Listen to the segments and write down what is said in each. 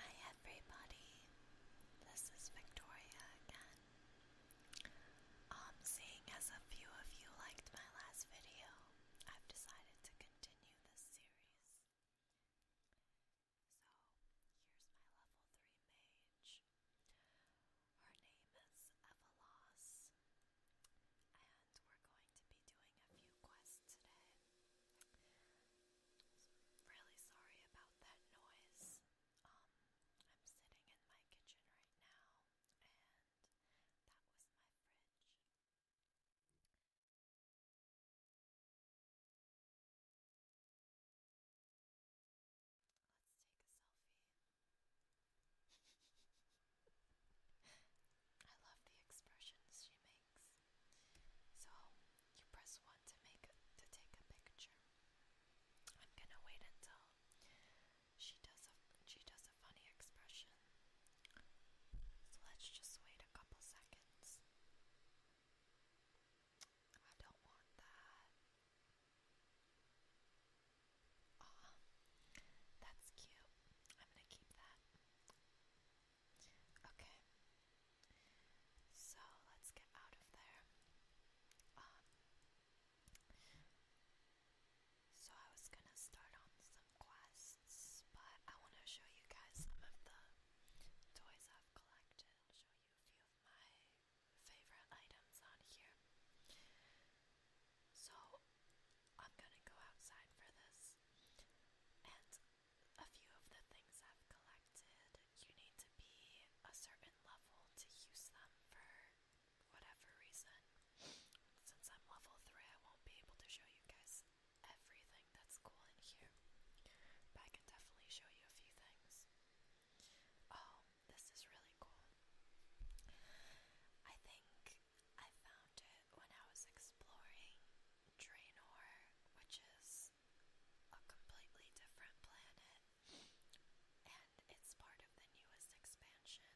Hi everybody, this is Victoria again. Um, seeing as a few of you liked my last video, I've decided to continue this series. So, here's my level 3 mage. Her name is Evelos. And we're going to be doing a few quests today. Really sorry about that noise. Um, I'm sitting in my kitchen right now, and that was my fridge. Let's take a selfie. I love the expressions she makes. So you press one to make to take a picture. I'm gonna wait until she does a she does a funny expression. So let's just wait a couple seconds. I don't want that. Aw, that's cute. I'm gonna keep that. Okay. So let's get out of there. Um, so I was gonna start on some quests, but I wanna show you guys some of the toys I've collected. I'll show you a few of my favorite items on here. So I'm gonna go outside for this. And a few of the things I've collected, you need to be a certain level to use them for whatever reason. Since I'm level 3, I won't be able to show you guys everything that's cool in here. But I can definitely show you a few things. Oh, this is really cool. I think I found it when I was exploring Draenor, which is a completely different planet, and it's part of the newest expansion.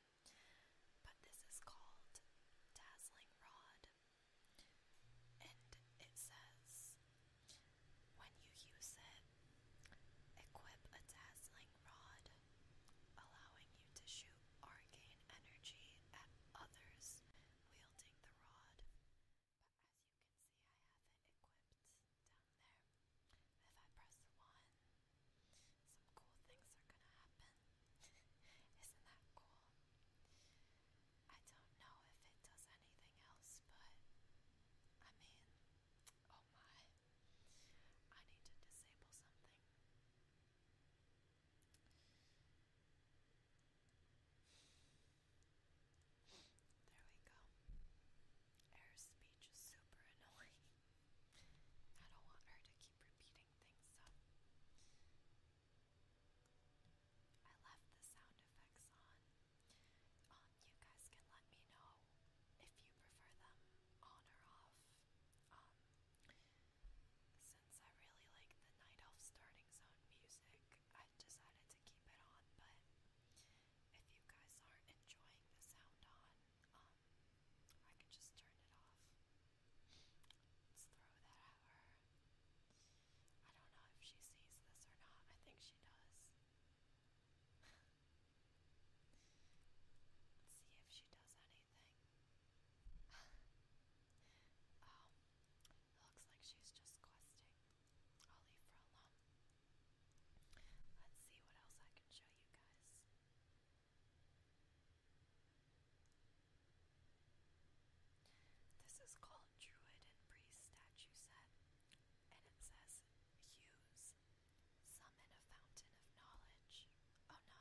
But this is called Dazzling Rod, and it says when you use it, equip a dazzling rod allowing you to shoot arcane energy at others wielding the rod. But as you can see, I have it equipped down there. If I press 1, some cool things are gonna happen. Isn't that cool? I don't know if it does anything else, but I mean, oh my. I need to disable something. There we go. Air speech is super annoying. I don't want her to keep repeating things, I left the sound effects on. Um, you guys can let me know if you prefer them on or off. Um, since I really like the Night Elf starting zone music, I decided to keep it on, but if you guys aren't enjoying the sound on, um, I can just turn it off. throw that at her. I don't know if she sees this or not. I think she does. see if she does any. um, looks like she's just questing. I'll leave her alone. Let's see what else I can show you guys. This is called Druid and Priest Statue Set, and it says Hues Summon a fountain of knowledge. Oh no.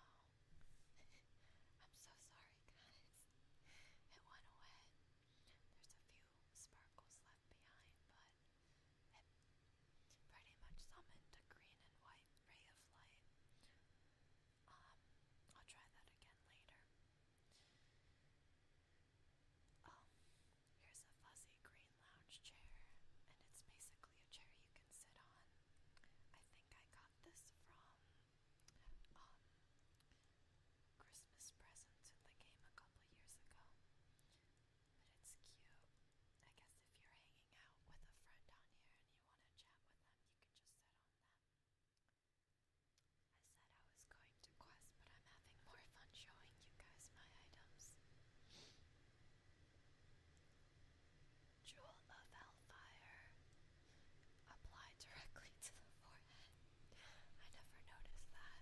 I'm so sorry, guys. It went away. There's a few sparkles left behind, but it pretty much summoned a green and white ray of light. Um, I'll try that again later. Oh, here's a fuzzy green lounge chair, and it's basically a chair you can sit on. I think I got this from um, Christmas presents in the a couple years ago. But it's cute. I guess if you're hanging out with a friend on here and you want to chat with them, you can just sit on them. I said I was going to quest, but I'm having more fun showing you guys my items. Jewel of Hellfire. Apply directly to the forehead. I never noticed that.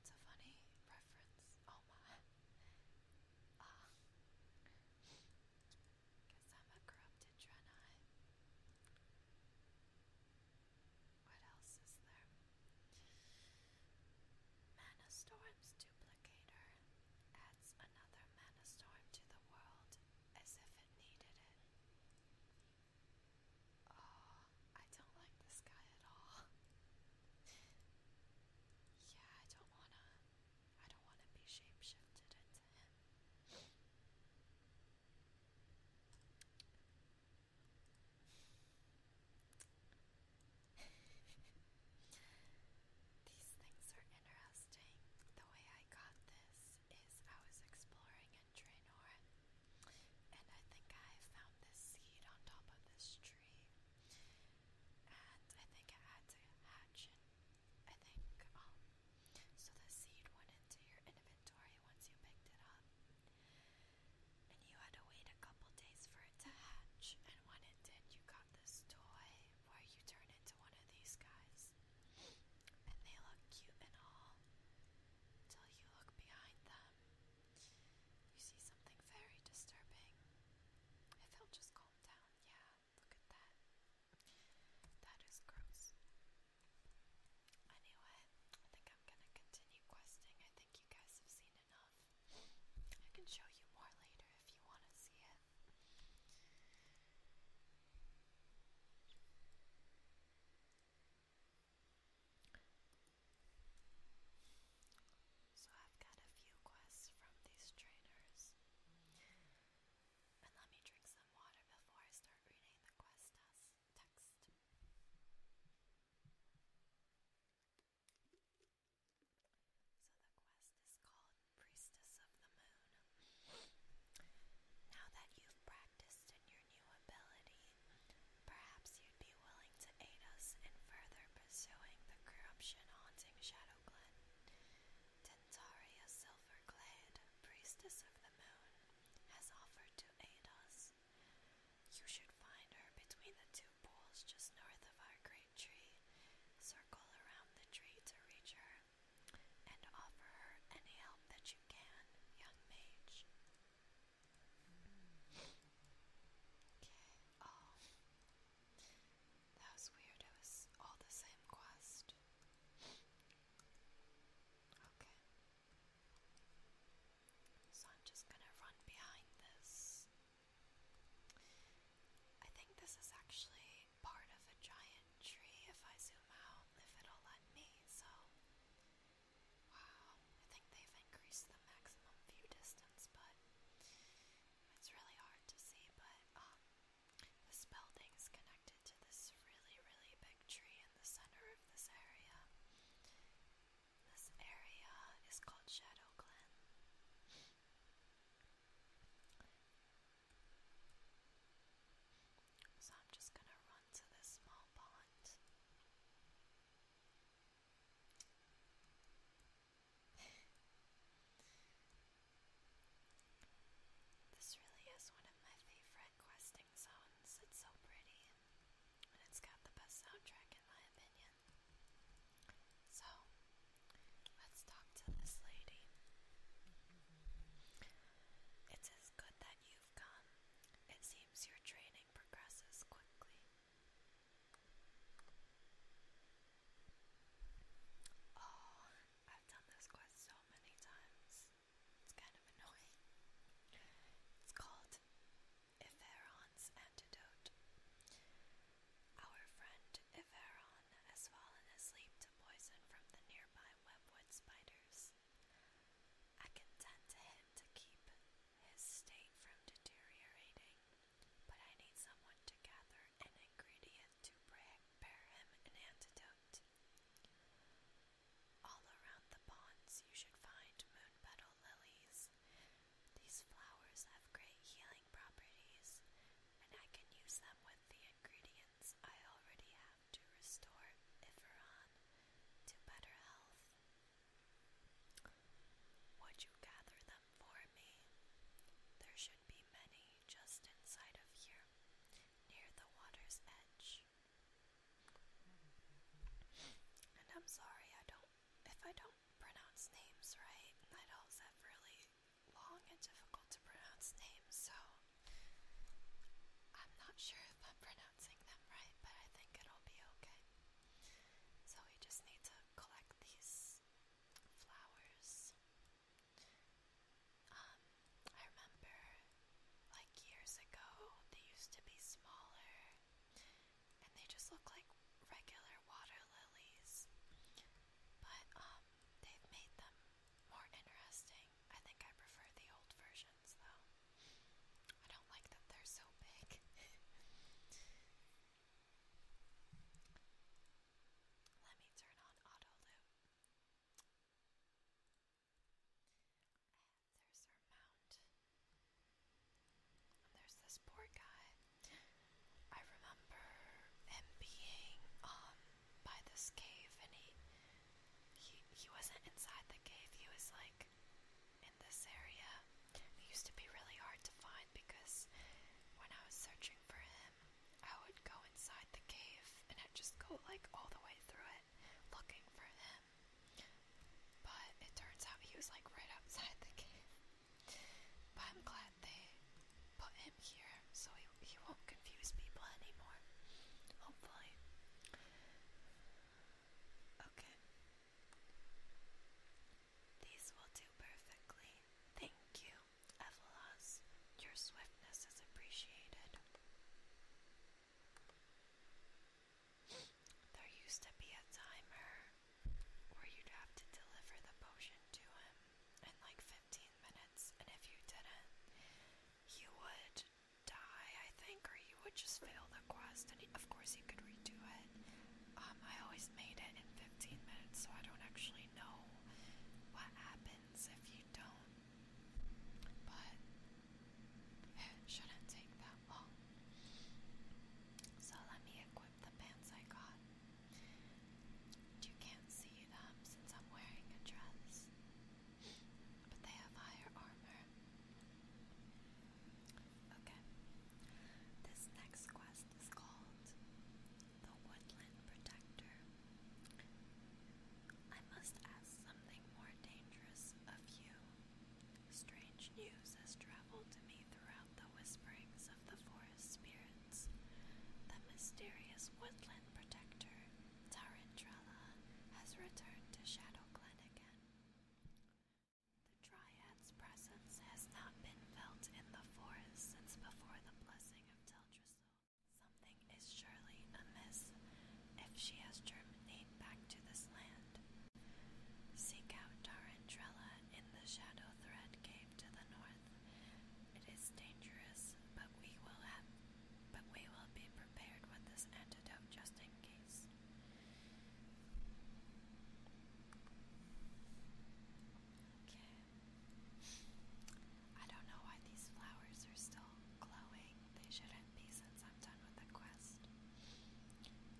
It's funny reference. Oh Ah. Guess I'm a corrupted Draenei. What else is there? Mana Storm's duplicator adds another mana to the world as if it needed it. Oh, I don't like this guy at all. yeah, I don't wanna I don't wanna be shapeshifted into him. These things are interesting. The way I got this is I was exploring in Draenor, and I think I found this seed on top of this tree, and I think it had to hatch. And I think um, so the seed went into your inventory once you picked it up. And you had to wait a couple days for it to hatch, and when it did, you got this toy where you turn into one of these guys. And they look cute and all. Till you look behind them. You see something very disturbing. If he'll calm down, yeah, look at that. That is gross. Anyway, I think I'm gonna continue questing. I think you guys have seen enough. I can show you more later if you want to see it. So, I've got a few quests from these trainers. And let me drink some water before I start reading the quest text. So the quest is called Priestess of the Moon. Now that you've practiced in your new ability, perhaps you'd be willing to aid us in further pursuing the corruption haunting Shadow Glen. Silverglade, Priestess of the Moon, has offered to aid us. You should find her between the two pools just north of our great tree, circle around the tree to reach her, and offer her any help that you can, young mage. Okay, oh. That was weird, it was all the same quest. Okay. So I'm just gonna run behind this I think this is actually part of a giant tree if I zoom out, if it'll let me. So, wow, I think they've increased the maximum view distance, but it's really hard to see. But um, this building's connected to this really, really big tree in the center of this area. This area is called Shadow Glen. So I'm just going to run to this small pond. this really is one of my favorite questing zones. It's so pretty and it's got the best soundtrack in my opinion. So, let's talk to this lady. It is good that you've come. It seems your training progresses quickly. Oh, I've done this quest so many times. It's kind of annoying. It's called Epheron's Antidote. Our friend Everon has fallen asleep to poison from the nearby webwood spiders. I can tend to him to keep his state from deteriorating, but I need someone to gather an ingredient to prepare him an antidote. All around the ponds you should find moon lilies. These flowers have great healing properties, and I can use them with the ingredients I already have to restore Iferon to better health. Would you gather them for me? There should be many just inside of here, near the water's edge. And I'm sorry I don't if I don't pronounce names right, I have really long and difficult to pronounce names, so I'm not sure if I'm pronouncing them right, but I think it'll be okay. So we just need to collect these flowers. Um, I remember like years ago they used to be smaller and they just look like regular water lilies. But um, they've made them more interesting. I think I prefer the old versions though. I don't like that they're so big. Let me turn on auto loop. there's our mount. And there's this poor guy. I remember him being um by this cave, and he he he wasn't inside the cave. He was like in this area. It used to be really hard to find because when I was searching for him, I would go inside the cave and I'd just go like all the way through it looking for him. But it turns out he was like right outside the cave. But I'm glad they put him here so he, he won't confuse people anymore. Hopefully. Okay. These will do perfectly. Thank you, Evelos. Your swiftness is appreciated. There used to be a timer where you'd have to deliver the potion to him in like 15 minutes, and if you didn't, you would die, I think, or you would just fail the quest. And of course, you could redo it. Um, I always made it in 15 minutes, so I don't actually know what happens if you don't. But it shouldn't take that long. So let me equip the pants I got. You can't see them since I'm wearing a dress, but they have higher armor. Okay, this next quest is called The Woodland Protector. I must ask something more dangerous of you. Strange news has traveled to me throughout the whisperings of the forest spirits, the mysterious woodland protector, Tarindrala, has returned to Shadow Glen again. The triad's presence has not been felt in the forest since before the blessing of Teldrassil. Something is surely amiss if she has germinated back to this land. Seek out Tarantrella in the Shadow Thread Cave to the north. It is dangerous, but we will have but we will be prepared with this antidote just in case. Okay. I don't know why these flowers are still glowing. They shouldn't be since I'm done with the quest.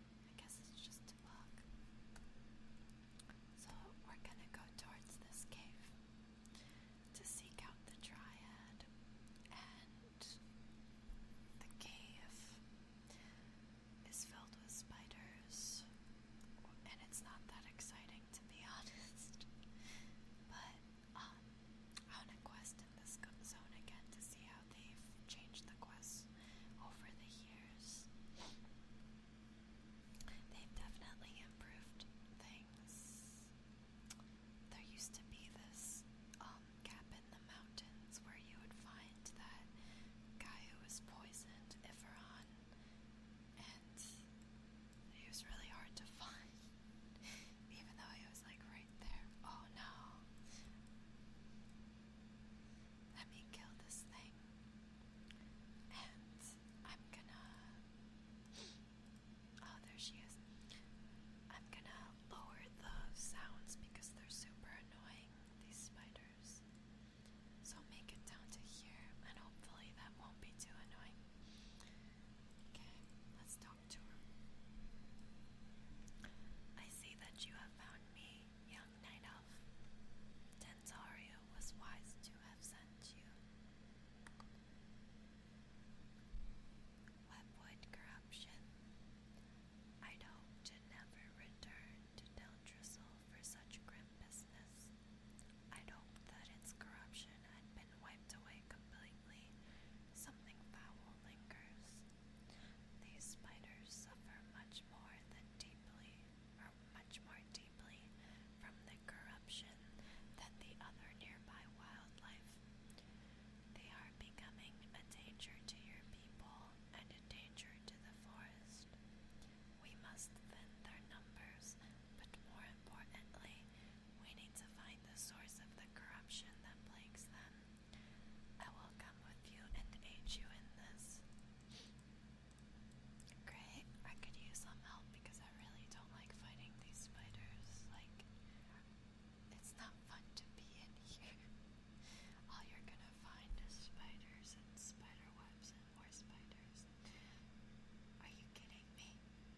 I guess it's just a So we're gonna go towards this cave to seek out the triad and the cave is filled with spiders and it's not that exciting to be honest but um, on a quest in this zone again to see how they've changed the quests over the years They've definitely improved things. There used to be this um, gap in the mountains where you would find that guy who was poisoned, Iferon, and he was really hard to find, even though he was like right there. Oh no let me kill this thing. And I'm gonna. Oh, there she is. I'm gonna lower the sounds because they're super annoying, these spiders. So make it down to here, and hopefully that won't be too annoying. Okay, let's talk to her. I see that you have found me, young night off. Dentario was wise to have sent you. Webwood corruption. I'd hoped to never return to Deltrisol for such grim business. I'd that its corruption had been wiped away completely. Something foul lingers. These spiders suffer much more than deeply suffer much more deeply from the corruption than the other nearby wildlife. They are becoming a danger to your people and a danger to the forest. We must thin their numbers, but more importantly, we need to find the source of the corruption that plagues them. I will come with you and aid you in this. Great, I could use some help because I really don't like fighting these spiders. Like, it's not fun to be in here. All you're gonna find is spiders and spider webs and more spiders. Are you kidding me?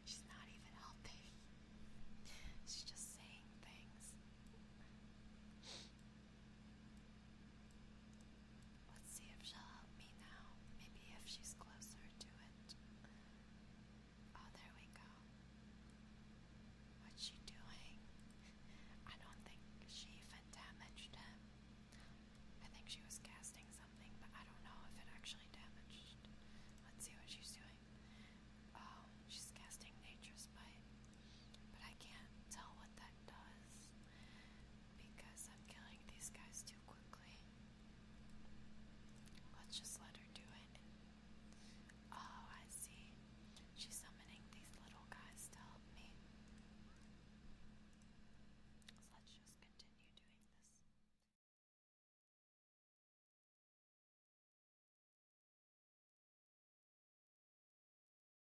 She's not even helping. She's just saying things. Let's see if she'll help me now. Maybe if she's closer to it. Oh, there we go. What's she doing? I don't think she even damaged him. I think she was casting something, but I don't know if it actually damaged. Let's see what she's doing. Oh, she's casting Nature's Bite. But I can't tell what that does because I'm killing these guys too quickly. Let's just let her do it. Oh, I see. She's summoning these little guys to help me. let's just continue doing this.